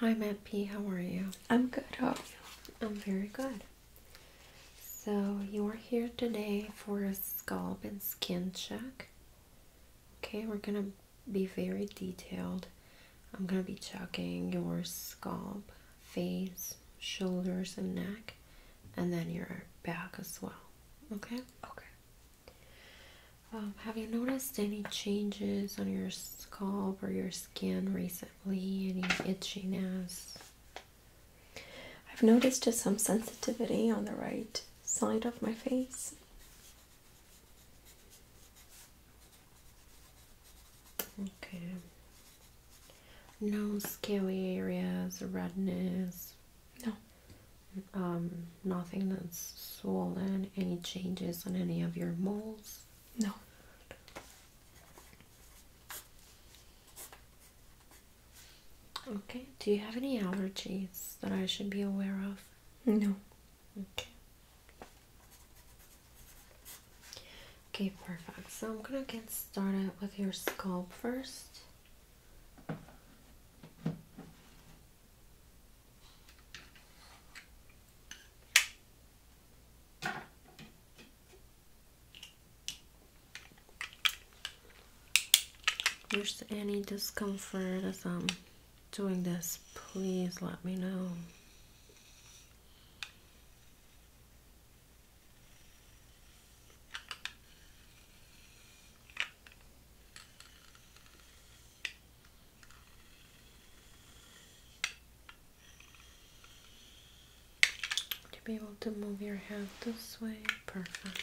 Hi, Matt P. How are you? I'm good. How are you? I'm very good. So, you are here today for a scalp and skin check. Okay, we're going to be very detailed. I'm going to be checking your scalp, face, shoulders, and neck, and then your back as well. Okay? Okay. Um, have you noticed any changes on your scalp or your skin recently? Any itchiness? I've noticed just some sensitivity on the right side of my face. Okay. No scaly areas, redness. No. Um, nothing that's swollen. Any changes on any of your moles? No. Okay, do you have any allergies that I should be aware of? No. Okay. Okay, perfect. So I'm gonna get started with your scalp first. There's any discomfort as I'm um, doing this, please let me know to be able to move your hand this way. Perfect.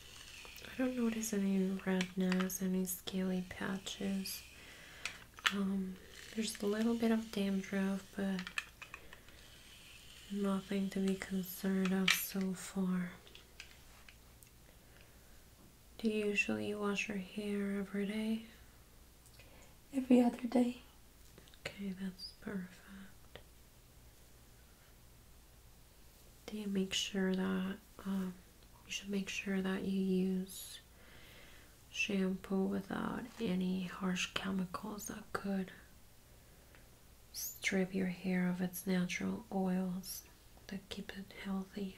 I don't notice any redness, any scaly patches. Um, there's a little bit of dandruff, but nothing to be concerned of so far. Do you usually wash your hair every day? Every other day. Okay, that's perfect do make sure that um, you should make sure that you use shampoo without any harsh chemicals that could strip your hair of its natural oils that keep it healthy.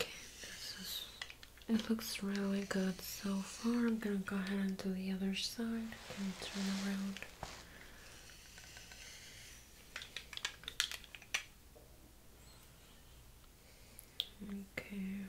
Okay, this is it looks really good so far. I'm gonna go ahead and do the other side and turn around. Okay.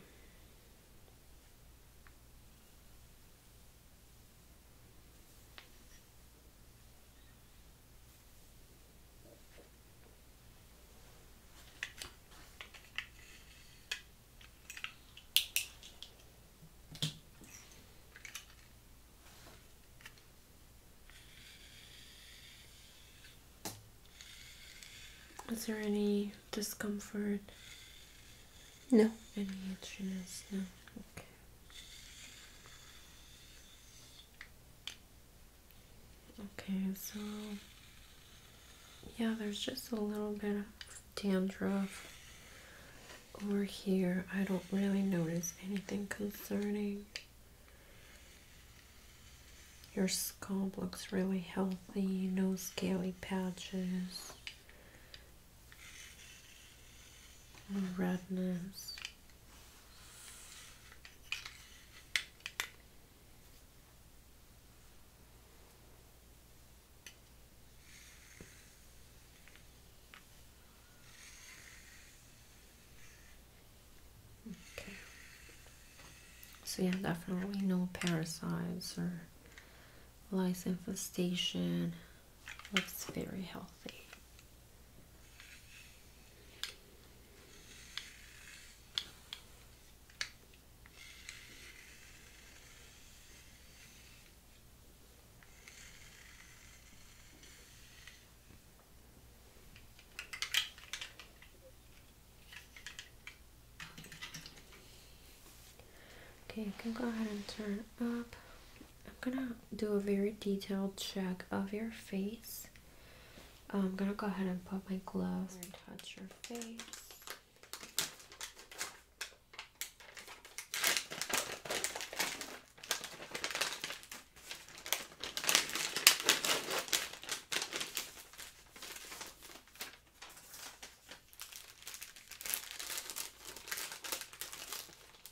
Is there any discomfort? No. Any itchiness? No. Okay. Okay, so yeah, there's just a little bit of dandruff over here. I don't really notice anything concerning. Your scalp looks really healthy, no scaly patches, no redness. So yeah, definitely no parasites or lice infestation. Looks very healthy. Okay, you can go ahead and turn up. I'm gonna do a very detailed check of your face I'm gonna go ahead and put my gloves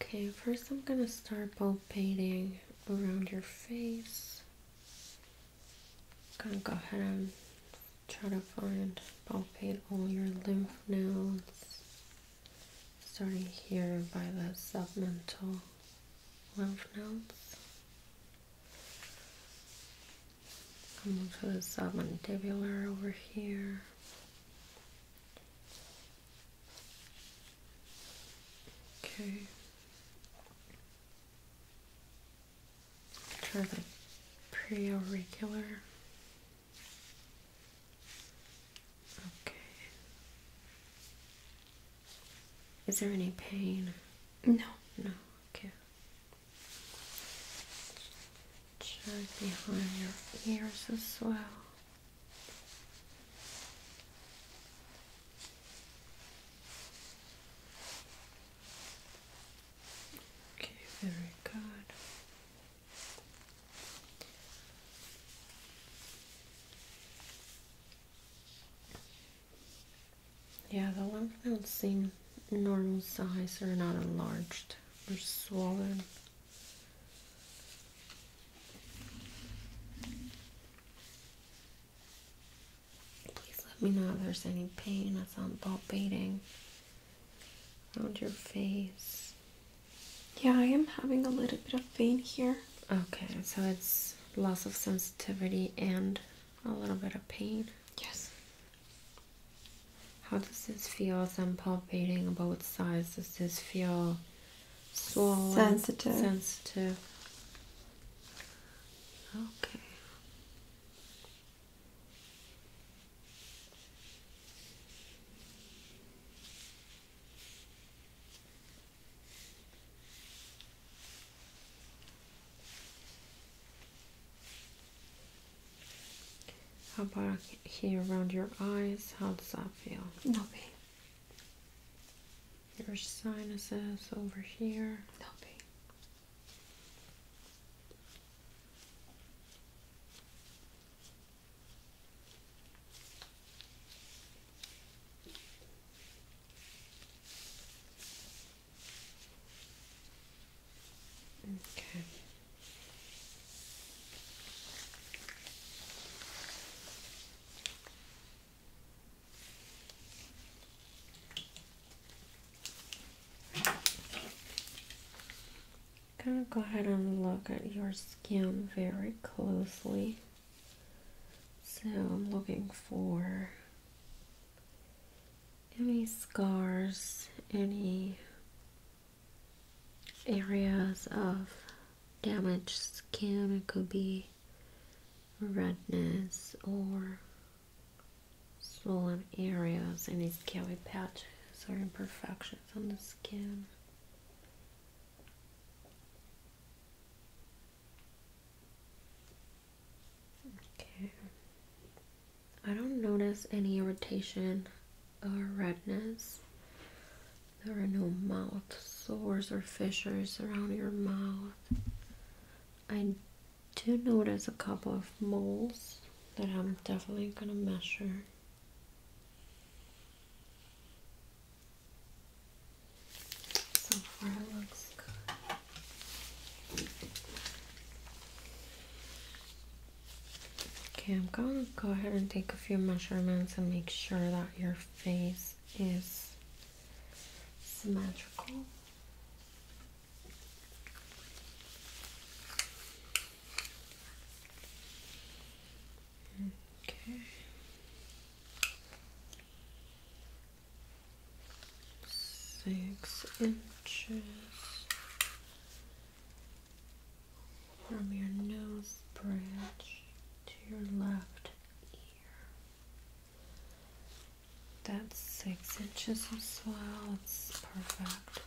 Okay, first I'm gonna start palpating around your face. I'm gonna go ahead and try to find palpate all your lymph nodes, starting here by the submental lymph nodes. I'll move to the submandibular over here. Okay. Try the preauricular. Okay. Is there any pain? No, no okay just behind your ears as well okay very good yeah, the lymph nodes seem normal size or not enlarged or swollen. Please let me know if there's any pain. I sound palpating around your face. Yeah, I am having a little bit of pain here. Okay, so it's loss of sensitivity and a little bit of pain? Yes. How does this feel as I'm palpating both sides? Does this feel swollen? Sensitive. Sensitive. Okay. How about here around your eyes? How does that feel? No pain. Your sinuses over here? No pain. Okay. I'm going to go ahead and look at your skin very closely. So I'm looking for any scars, any areas of damaged skin. It could be redness or swollen areas, any scaly patches or imperfections on the skin. Okay. I don't notice any irritation or redness. There are no mouth sores or fissures around your mouth. I do notice a couple of moles that I'm definitely going to measure. Okay, I'm going to go ahead and take a few measurements and make sure that your face is symmetrical. Okay six inches from your nose bridge to your left ear. That's six inches as well, it's perfect.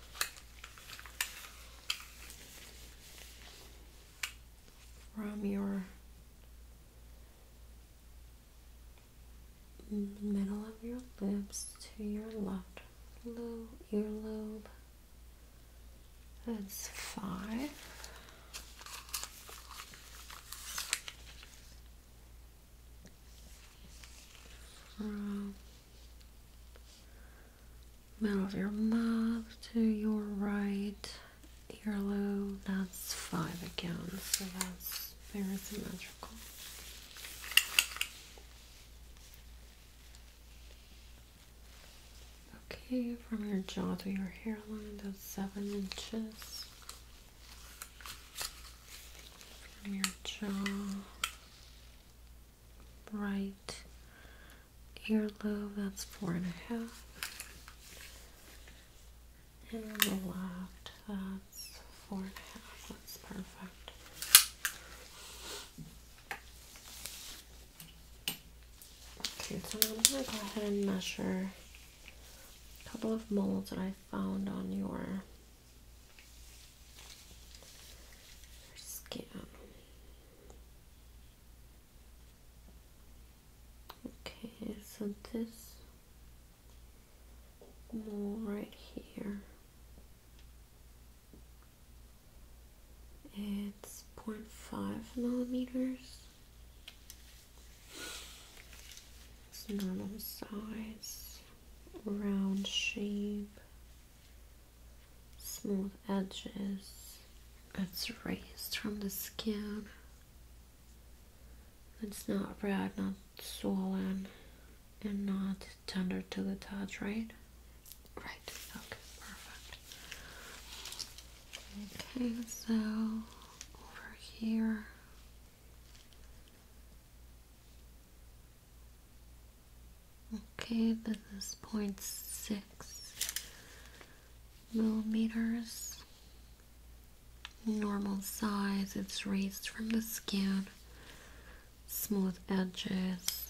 From your middle of your lips to your left lobe. earlobe. That's five. From middle of your mouth to your right Earlobe, that's five again, so that's very symmetrical. Okay, from your jaw to your hairline, that's seven inches. From your jaw, right earlobe, that's four and a half and on the left, that's four and a half. That's perfect. Okay, so I'm gonna go ahead and measure a couple of molds that I found on your, your skin. Okay, so this right here it's 0.5 millimeters it's normal size round shape smooth edges it's raised from the skin it's not red, not swollen, and not tender to the touch, right? Right. Okay, perfect. Okay, so over here. Okay, this is 0.6 millimeters normal size, it's raised from the skin, smooth edges.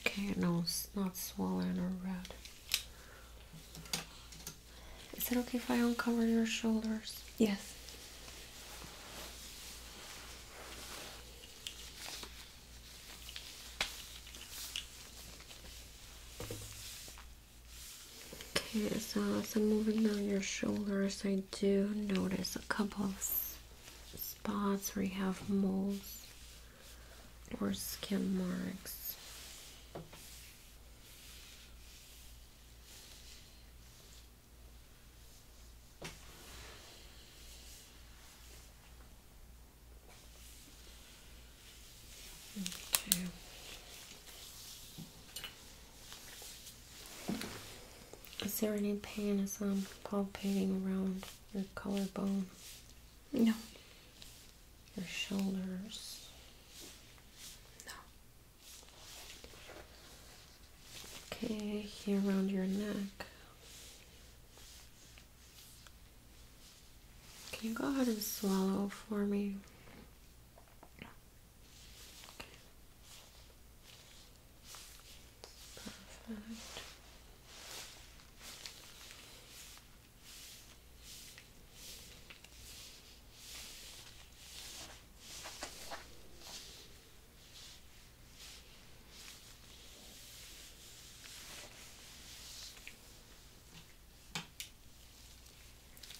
Okay, no, it's not swollen or red. Is it okay if I uncover your shoulders? Yes. Okay, so as I'm moving down your shoulders, I do notice a couple of spots where you have moles or skin marks. Okay. Is there any pain as i palpating around your collarbone? No. Your shoulders? No. Okay, here around your neck. Can you go ahead and swallow for me? Perfect.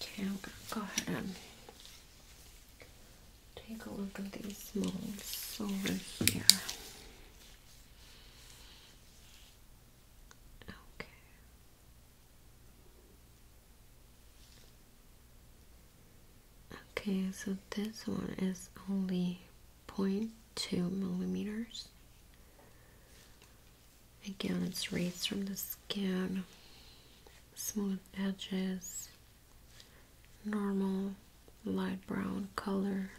Okay, I'm gonna go ahead and take a look at these molds over here. Okay. Okay, so this one is only 0.2 millimeters. Again, it's raised from the skin, smooth edges, normal light brown color.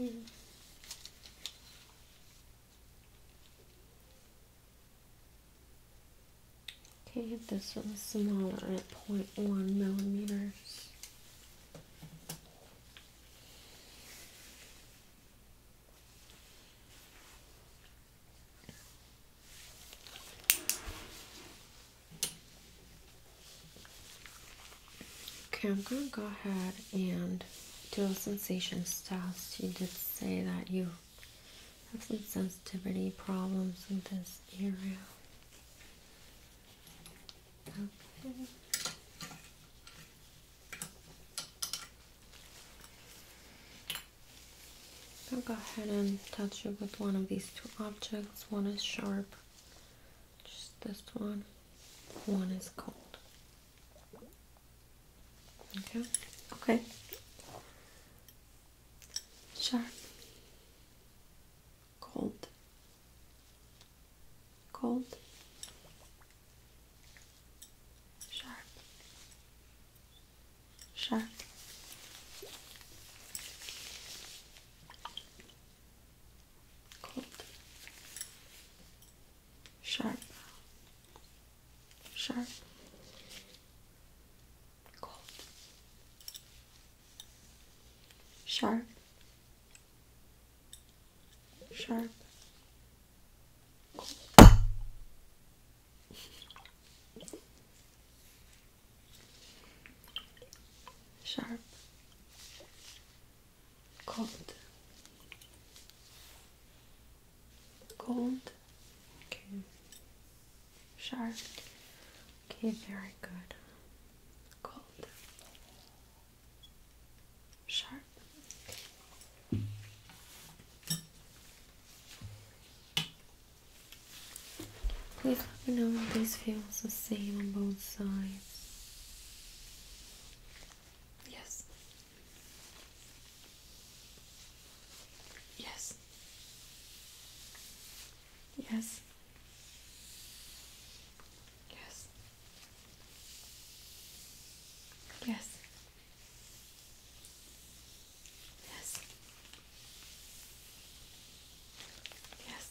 Okay. Okay, this one's smaller at 0.1 millimeters. Okay, I'm gonna go ahead and do a sensation test. You did say that you have some sensitivity problems in this area. Okay. I'll go ahead and touch it with one of these two objects. One is sharp, just this one. One is cold. Okay. Okay. Sharp. Cold. Cold. Sharp. Sharp cold, sharp, sharp, cold, sharp, sharp, cold sharp, cold, cold, okay, sharp, okay, very good, cold, sharp. Please let me know if this feels the same on both sides. Yes. Yes. Yes. Yes. Yes. Yes. Yes.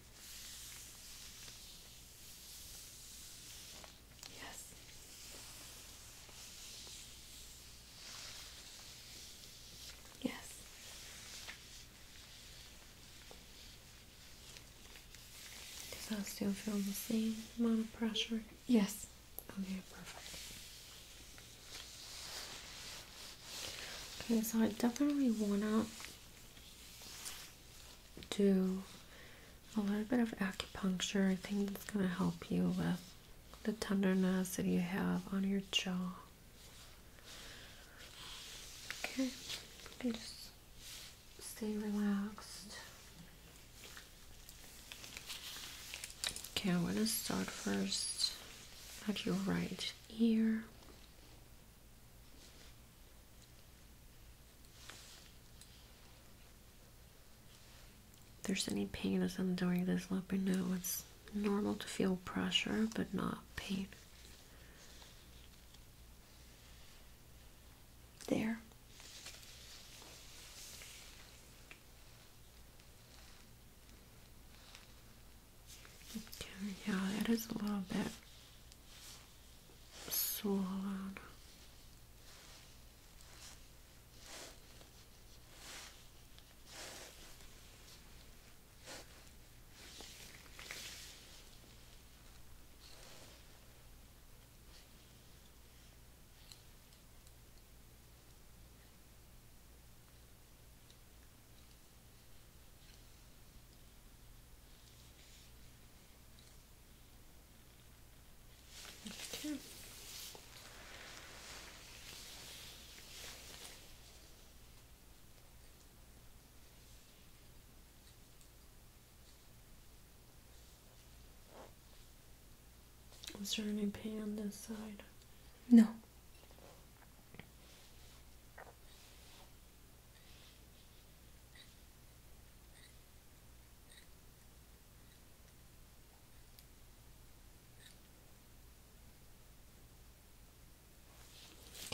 Yes. Yes. Does that still feel the same amount of pressure? Yes. Okay, perfect. Okay, so I definitely wanna do a little bit of acupuncture. I think that's going to help you with the tenderness that you have on your jaw. Okay, just stay relaxed. Okay, I'm going to start first at your right ear. If there's any pain or something during this, let me know. It's normal to feel pressure, but not pain. There yeah, that is a little bit swollen. Is there any pain on this side? No.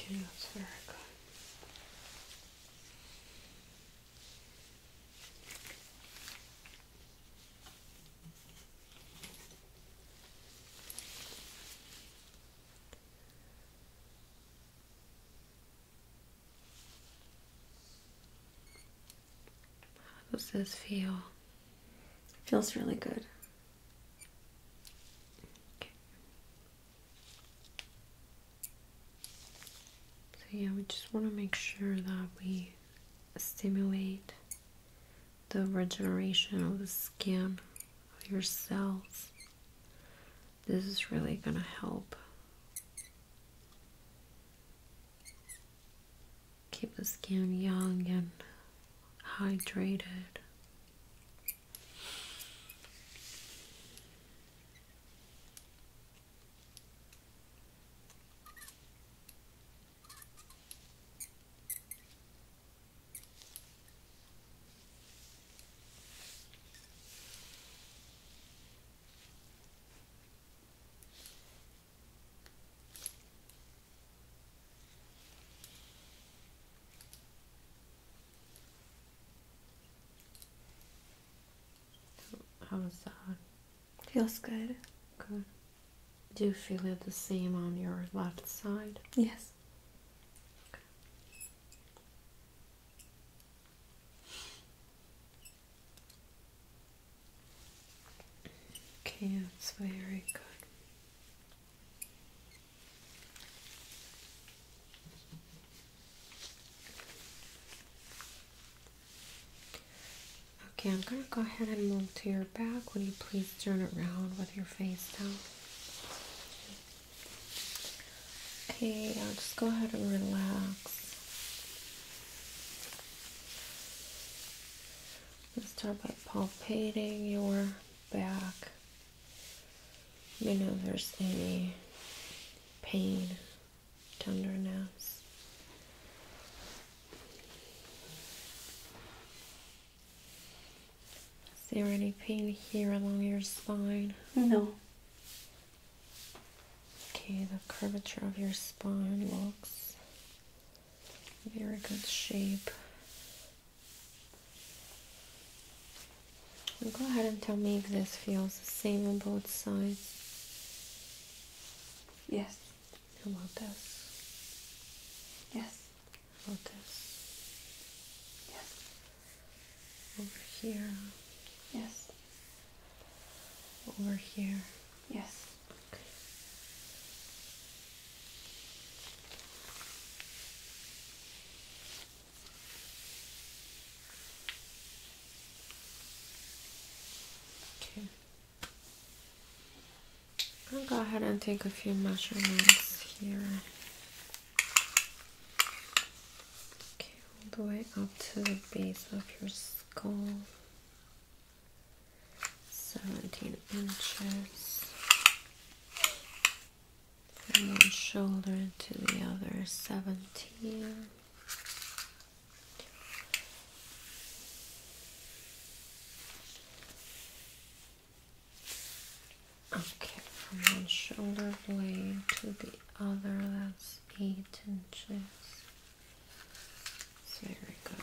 Okay, that's very good. How does this feel? feels really good. So yeah, we just want to make sure that we stimulate the regeneration of the skin Yourself. This is really going to help keep the skin young and hydrated. How is that? Feels good. Good. Do you feel it the same on your left side? Yes. Okay, that's very good. Okay, I'm going to go ahead and move to your back. Would you please turn around with your face down? Okay, now just go ahead and relax. Let's start by palpating your back. Let me know if there's any pain, tenderness. Is there any pain here along your spine? No. Okay, the curvature of your spine looks very good shape. go ahead and tell me if this feels the same on both sides. Yes. How about this? Yes. Over here. Yes. Over here. Yes. Okay. I'll go ahead and take a few measurements here Okay, all the way up to the base of your skull. 17 inches from one shoulder to the other 17 Okay, from one shoulder blade to the other, that's eight inches. very good.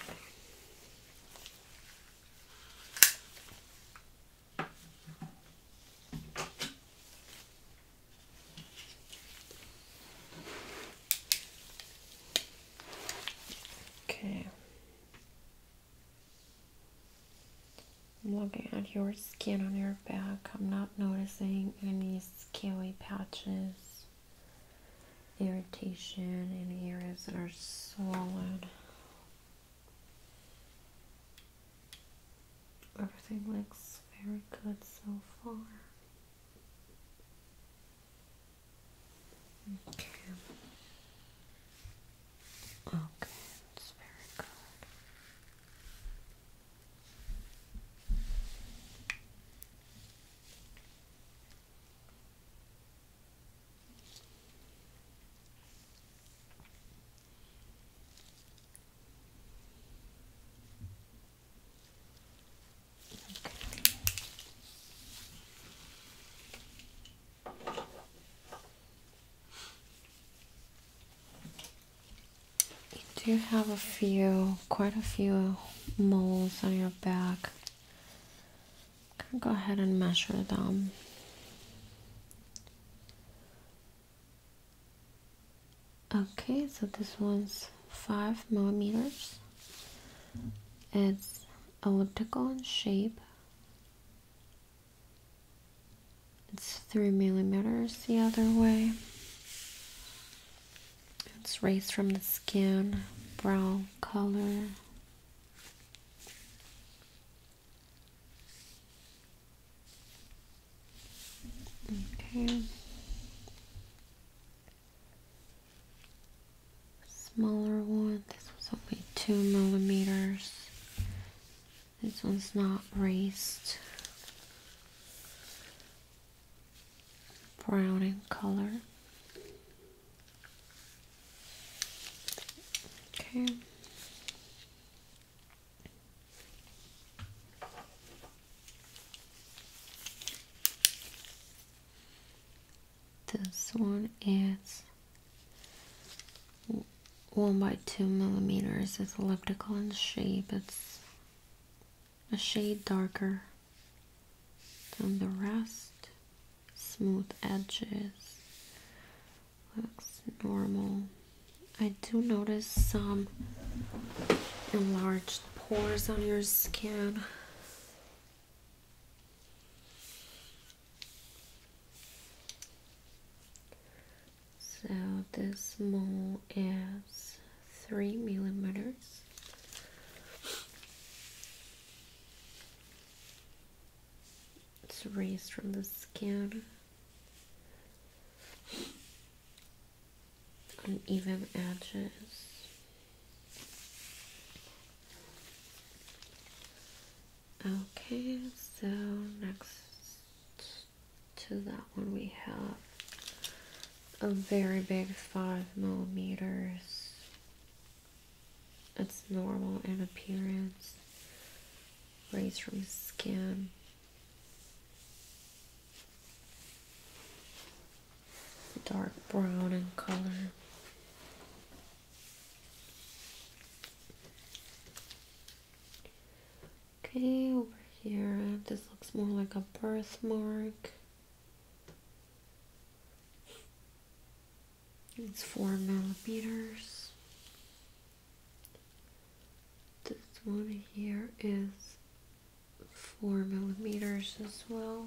Okay. I'm looking at your skin on your back. I'm not noticing any scaly patches, irritation, any areas that are swollen. Everything looks very good so far. Okay. Okay, that's very good. Okay. You do have a few, quite a few moles on your back. Can go ahead and measure them. Okay, so this one's five millimeters. It's elliptical in shape it's three millimeters the other way. It's raised from the skin, brown color. Okay. Smaller one. This was only two millimeters. This one's not raised. Brown in color. Okay. This one is one by two millimeters. It's elliptical in shape. It's a shade darker than the rest. Smooth edges. Looks normal. I do notice some enlarged pores on your skin. So this mole is three millimeters. It's raised from the skin on even edges. Okay, so next to that one we have a very big five millimeters. It's normal in appearance, raised from skin. Dark brown in color. Okay, over here, this looks more like a birthmark. It's four millimeters. This one here is four millimeters as well.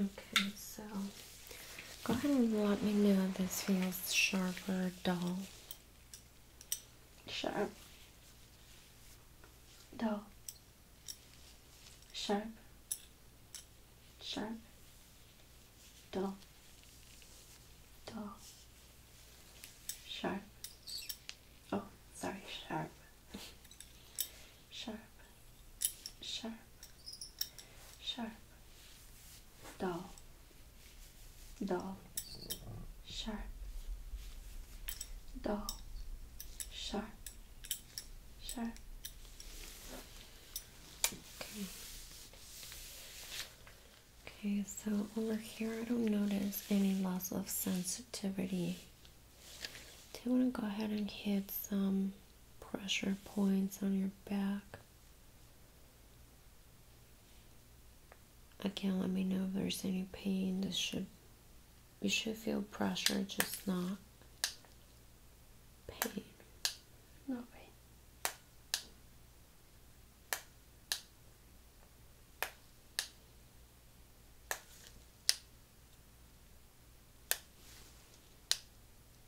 Okay, so go ahead and let me know this feels sharper, or dull. Sharp. Dull. Sharp. Sharp. Dull. Dull. Sharp. Oh, sorry, sharp. Sharp sharp, sharp, dull, dull, sharp, dull, sharp, sharp. Okay. Okay, so over here I don't notice any loss of sensitivity. Do you want to go ahead and hit some pressure points on your back. Again, let me know if there's any pain. This should you should feel pressure, just not pain. No pain.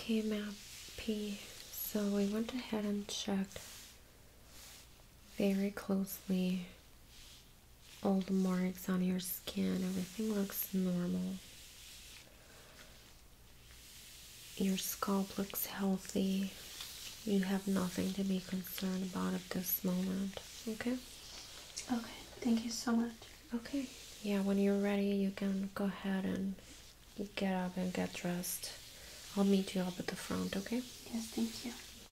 Okay, map P. So we went ahead and checked very closely all the marks on your skin, everything looks normal. Your scalp looks healthy. You have nothing to be concerned about at this moment. Okay? Okay, thank you so much. Okay, yeah, when you're ready, you can go ahead and get up and get dressed. I'll meet you up at the front, okay? Yes, thank you.